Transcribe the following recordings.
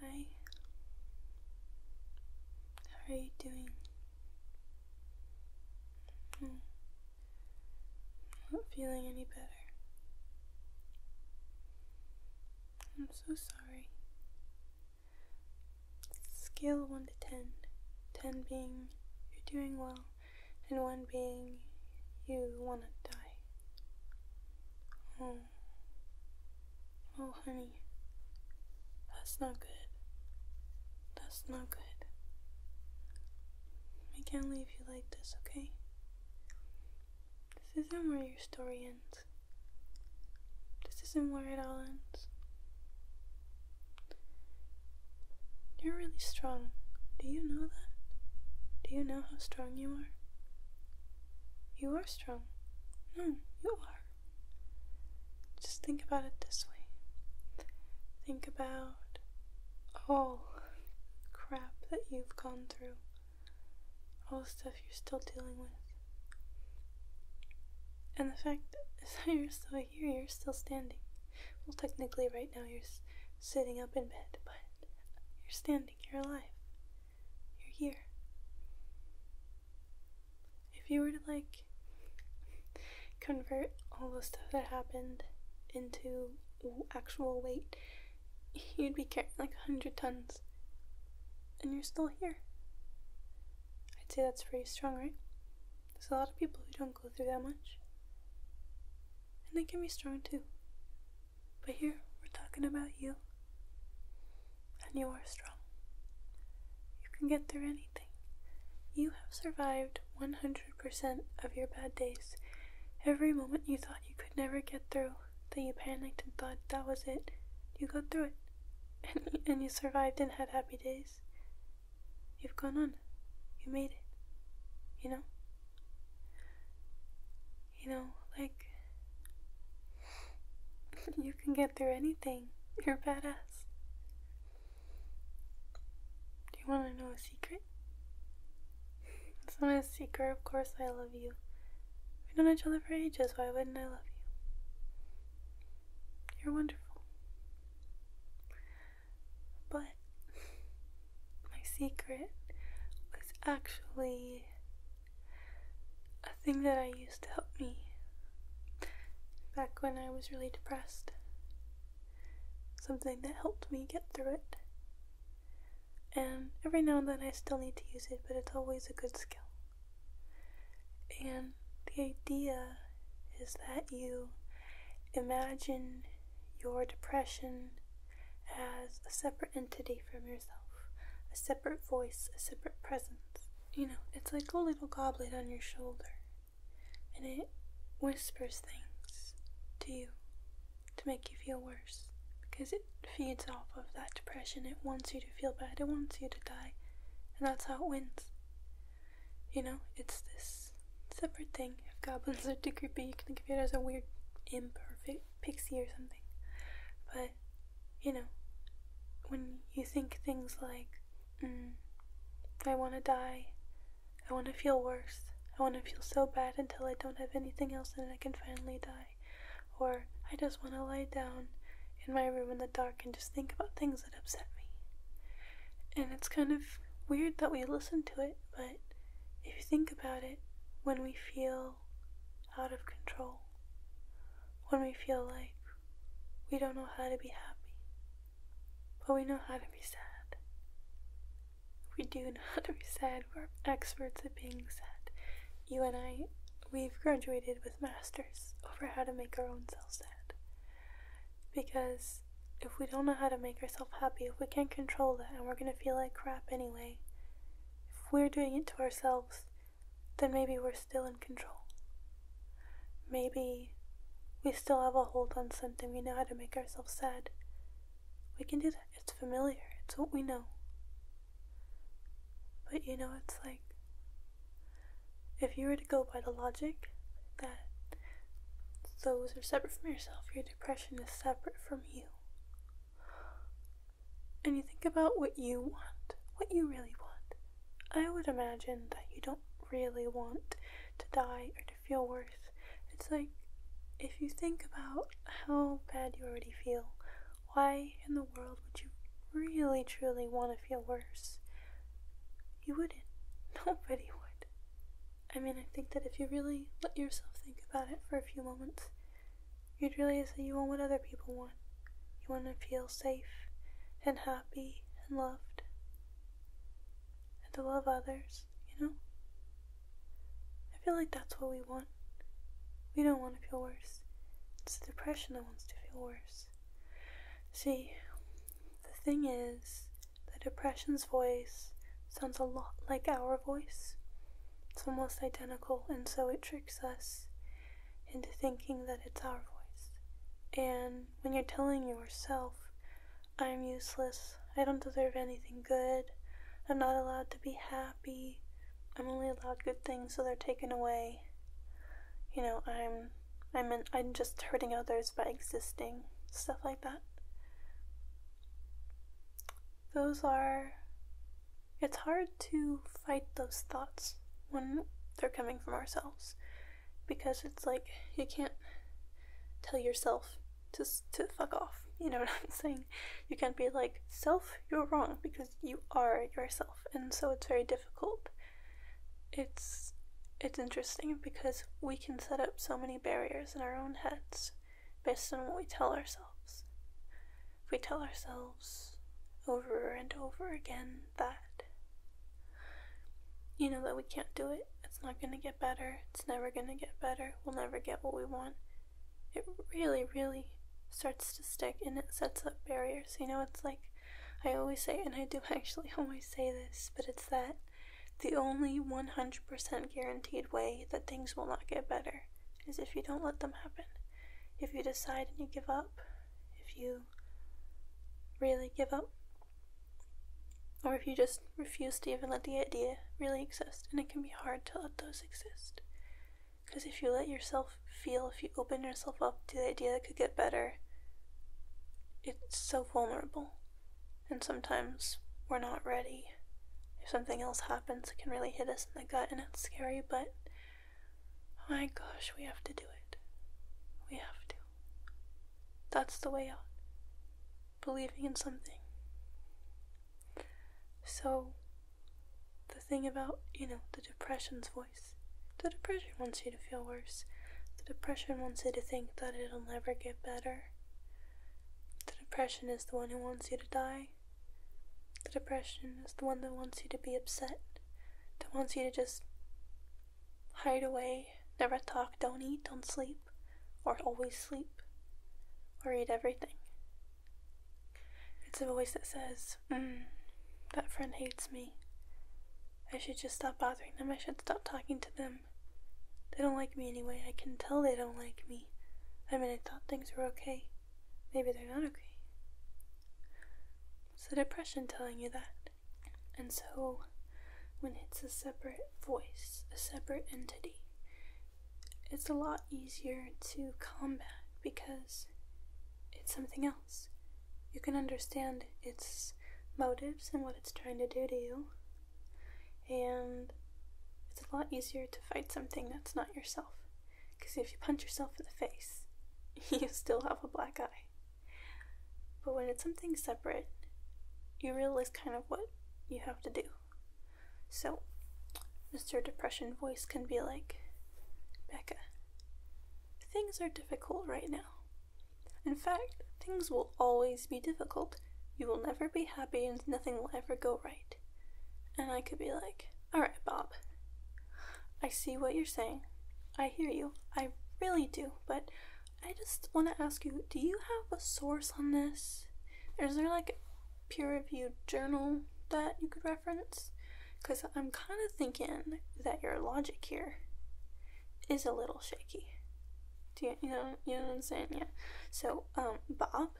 Hi. How are you doing? Hmm. Not feeling any better. I'm so sorry. Scale 1 to 10. 10 being you're doing well and one being you wanna die. Oh, oh, honey, that's not good. That's not good. I can't leave you like this, okay? This isn't where your story ends. This isn't where it all ends. You're really strong. Do you know that? Do you know how strong you are? You are strong. No, you are. Just think about it this way. Think about all crap that you've gone through, all the stuff you're still dealing with. And the fact that you're still here, you're still standing. Well, technically, right now you're sitting up in bed, but you're standing, you're alive, you're here. If you were to like convert all the stuff that happened into actual weight, you'd be carrying like 100 tons, and you're still here. I'd say that's pretty strong, right? There's a lot of people who don't go through that much. And they can be strong too. But here, we're talking about you. And you are strong. You can get through anything. You have survived 100% of your bad days. Every moment you thought you could never get through, that you panicked and thought that was it, you got through it. And, you survived and had happy days. You've gone on. You made it. You know? You know, like, you can get through anything. You're badass. Do you want to know a secret? It's not a secret, of course I love you. We've known each other for ages, why wouldn't I love you? You're wonderful. But my secret was actually a thing that I used to help me back when I was really depressed. Something that helped me get through it. And every now and then I still need to use it, but it's always a good skill. And the idea is that you Imagine your depression as a separate entity from yourself, a separate voice, a separate presence. You know, it's like a little goblet on your shoulder, and it whispers things to you to make you feel worse because it feeds off of that depression. It wants you to feel bad, it wants you to die, and that's how it wins you know, it's this separate thing. If goblins are too creepy, you can think of it as a weird imperfect pixie or something. But, you know, when you think things like, mm, I want to die, I want to feel worse, I want to feel so bad until I don't have anything else and I can finally die, or I just want to lie down in my room in the dark and just think about things that upset me. And it's kind of weird that we listen to it but if you think about it, when we feel out of control, when we feel like we don't know how to be happy, but we know how to be sad. We do know how to be sad. We're experts at being sad. You and I, we've graduated with masters over how to make our own selves sad. Because if we don't know how to make ourselves happy, if we can't control that, and we're going to feel like crap anyway, if we're doing it to ourselves, then maybe we're still in control. Maybe we still have a hold on something. We know how to make ourselves sad. We can do that. It's familiar, it's what we know. But you know, it's like if you were to go by the logic that those are separate from yourself, you're depression is separate from you. And you think about what you want, what you really want. I would imagine that you don't really want to die or to feel worse. It's like if you think about how bad you already feel, why in the world would you really truly want to feel worse? You wouldn't. Nobody would. I mean, I think that if you really let yourself think about it for a few moments, you'd realize that you want what other people want. You want to feel safe and happy and loved. And to love others, you know? I feel like that's what we want. We don't want to feel worse. It's the depression that wants to feel worse. See, the thing is, the Depression's voice sounds a lot like our voice. It's almost identical, and so it tricks us into thinking that it's our voice. And when you're telling yourself, I'm useless, I don't deserve anything good, I'm not allowed to be happy, I'm only allowed good things, so they're taken away. You know, I'm I'm I'm just hurting others by existing, stuff like that those are. It's hard to fight those thoughts when they're coming from ourselves because it's like you can't tell yourself to, to fuck off. You know what I'm saying? You can't be like, self, you're wrong because you are yourself. And so it's very difficult. It's it's interesting because we can set up so many barriers in our own heads based on what we tell ourselves. If we tell ourselves over and over again that, you know, that we can't do it, it's not going to get better, it's never going to get better, we'll never get what we want, it really, really starts to stick and it sets up barriers. You know, it's like I always say, and I do actually always say this, but it's that the only 100% guaranteed way that things will not get better is if you don't let them happen. If you decide and you give up, if you really give up, or if you just refuse to even let the idea really exist, and it can be hard to let those exist. Because if you let yourself feel, if you open yourself up to the idea that could get better, it's so vulnerable and sometimes we're not ready. If something else happens, it can really hit us in the gut and it's scary, but my gosh, we have to do it. We have to. That's the way out. Believing in something. So, the thing about, you know, the depression's voice. The depression wants you to feel worse. The depression wants you to think that it'll never get better. The depression is the one who wants you to die. The depression is the one that wants you to be upset, that wants you to just hide away, never talk, don't eat, don't sleep, or always sleep, or eat everything. It's a voice that says, mm, that friend hates me. I should just stop bothering them, I should stop talking to them, they don't like me anyway. I can tell they don't like me. I mean, I thought things were okay. Maybe they're not okay. It's the depression telling you that. And so, when it's a separate voice, a separate entity, it's a lot easier to combat because it's something else. You can understand its motives and what it's trying to do to you, and it's a lot easier to fight something that's not yourself, because if you punch yourself in the face, you still have a black eye. But when it's something separate, you realize kind of what you have to do. So, Mr. Depression voice can be like, Becca, things are difficult right now. In fact, things will always be difficult. You will never be happy and nothing will ever go right. And I could be like, Alright, Bob, I see what you're saying. I hear you. I really do. But I just want to ask you do you have a source on this? Is there like a peer reviewed journal that you could reference? Because I'm kind of thinking that your logic here is a little shaky. Do you, know you know what I'm saying? Yeah. So, um, Bob,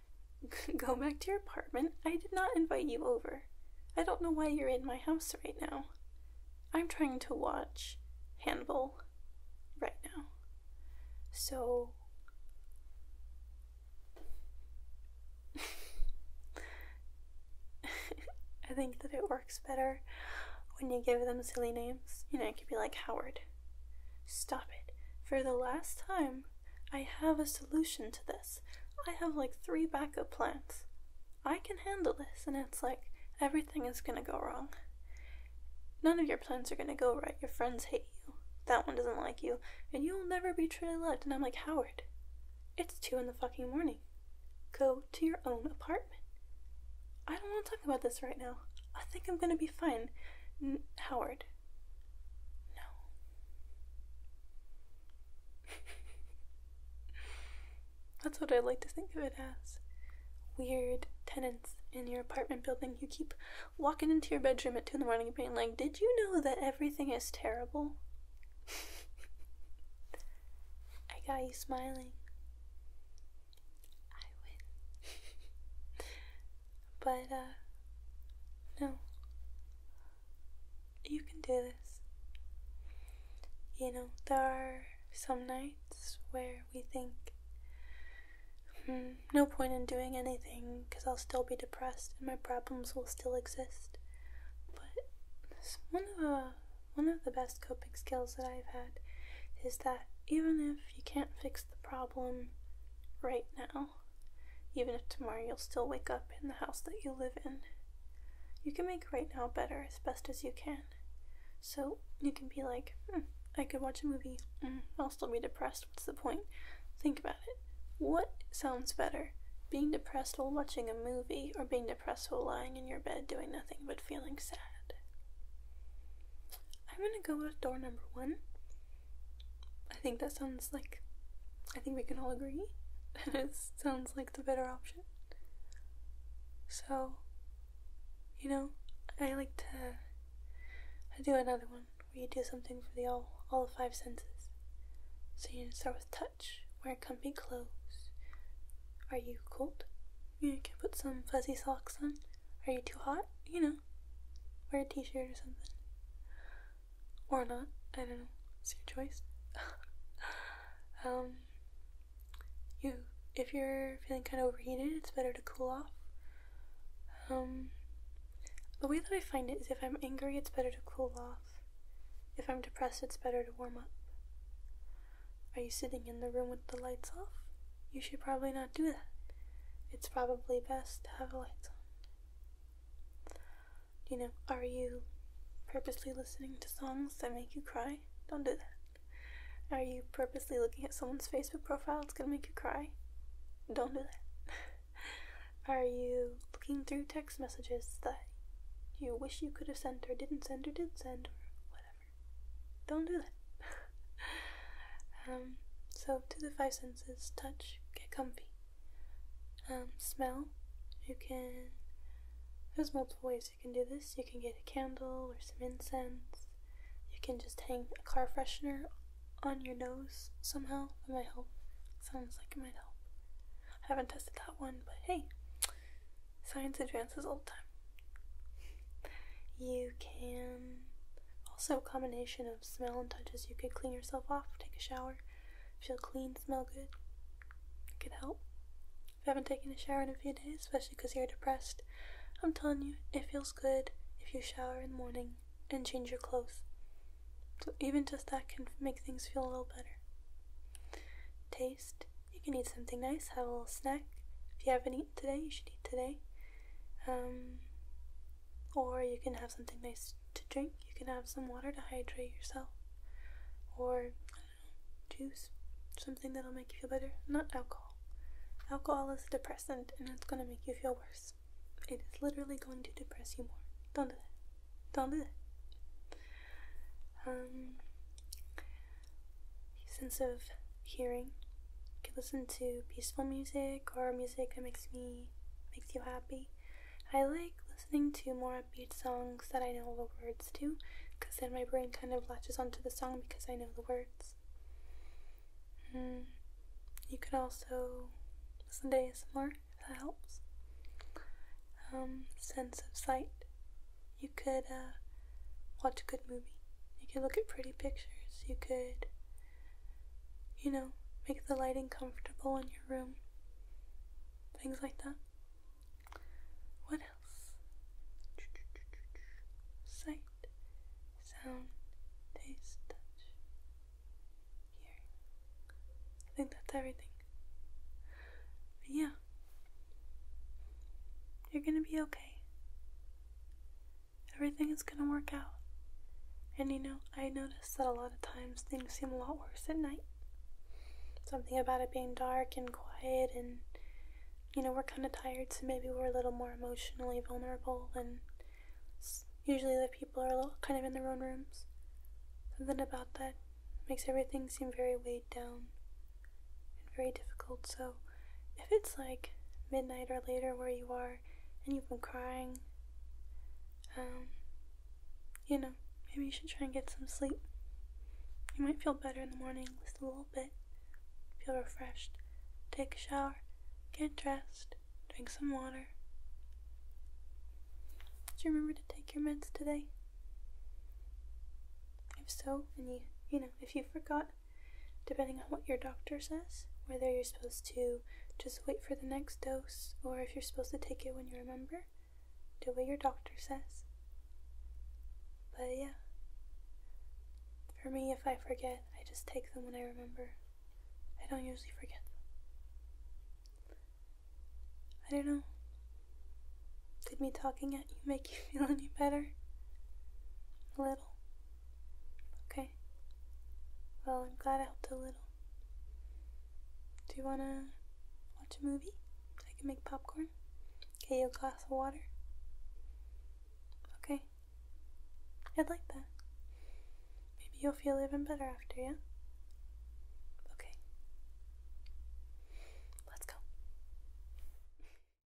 go back to your apartment. I did not invite you over. I don't know why you're in my house right now. I'm trying to watch Handball right now. So I think that it works better when you give them silly names. You know, it could be like Howard Stop it. For the last time, I have a solution to this. I have like three backup plans. I can handle this. And it's like everything is gonna go wrong. None of your plans are gonna go right. Your friends hate you. That one doesn't like you. And you'll never be truly loved. And I'm like, Howard, it's two in the fucking morning. Go to your own apartment. I don't want to about this right now. I think I'm gonna be fine. Howard. No. That's what I like to think of it as. Weird tenants in your apartment building who keep walking into your bedroom at 2 in the morning and being like, Did you know that everything is terrible? I got you smiling. I win. but, uh, no. You can do this. You know, there are some nights where we think, hmm, no point in doing anything because I'll still be depressed and my problems will still exist. But one of the uh, one of the best coping skills that I've had is that even if if you can't fix the problem right now, even if tomorrow you'll still wake up in the house that you live in, you can make right now better as best as you can. So you can be like, hmm, I could watch a movie, hmm, I'll still be depressed, what's the point? Think about it. What sounds better? Being depressed while watching a movie, or being depressed while lying in your bed doing nothing but feeling sad? I'm gonna go with door number one. I think that sounds like, I think we can all agree that it sounds like the better option. So, you know, I like to I do another one where you do something for the all all five senses. So you start with touch, wear comfy clothes. Are you cold? You can put some fuzzy socks on. Are you too hot? You know, wear a t-shirt or something. Or not. I don't know. It's your choice. um, you, if you're feeling kind of overheated, it's better to cool off. Um, the way that I find it is if I'm angry, it's better to cool off. If I'm depressed, it's better to warm up. Are you sitting in the room with the lights off? You should probably not do that. It's probably best to have the lights on. You know, are you purposely listening to songs that make you cry? Don't do that. Are you purposely looking at someone's Facebook profile? It's gonna make you cry. Don't do that. are you looking through text messages that you wish you could have sent or didn't send or did send or whatever? don't do that. um, so, to the five senses touch, get comfy. Um, smell, you can. There's multiple ways you can do this. You can get a candle or some incense. You can just hang a car freshener on your nose somehow. That might help. Sounds like it might help. I haven't tested that one, but hey, science advances all the time. You can also a combination of smell and touches. You could clean yourself off, take a shower, feel clean, smell good. It could help. If you haven't taken a shower in a few days, especially because you're depressed, I'm telling you, it feels good if you shower in the morning and change your clothes. So even just that can make things feel a little better. Taste. You can eat something nice, have a little snack. If you haven't eaten today, you should eat today. Um, or you can have something nice to drink. You can have some water to hydrate yourself, or know, juice, something that'll make you feel better. Not alcohol. Alcohol is a depressant, and it's gonna make you feel worse. It is literally going to depress you more. Don't do that. Don't do that. Um, sense of hearing. can listen to peaceful music or music that makes me makes you happy. I like listening to more upbeat songs that I know the words to, because then my brain kind of latches onto the song because I know the words. Hmm. You can also listen to some more if that helps. Um, sense of sight. You could uh, watch a good movie. You could look at pretty pictures. You could, you know, make the lighting comfortable in your room. Things like that. What else? Sight, sound, taste, touch, hearing. I think that's everything. yeah. You're gonna be okay. Everything is going to work out. And you know, I notice that a lot of times things seem a lot worse at night. Something about it being dark and quiet, and you know, we're kind of tired, so maybe we're a little more emotionally vulnerable than usually the people are a little, kind of in their own rooms. Something about that makes everything seem very weighed down and very difficult. So, if it's like midnight or later where you are and you've been crying, um, you know, maybe you should try and get some sleep. You might feel better in the morning, just a little bit. Feel refreshed. Take a shower, get dressed, drink some water. Did you remember to take your meds today? If so, and you, you know, if you forgot, depending on what your doctor says, whether you're supposed to just wait for the next dose or if you're supposed to take it when you remember. Do what your doctor says. But yeah. For me, if I forget, I just take them when I remember. I don't usually forget I don't know. Did me talking at you make you feel any better? A little. Okay. Well, I'm glad I helped a little. Do you want to watch a movie? I can make popcorn. Get you a glass of water. Okay. I'd like that. Maybe you'll feel even better after, yeah? Okay. Let's go.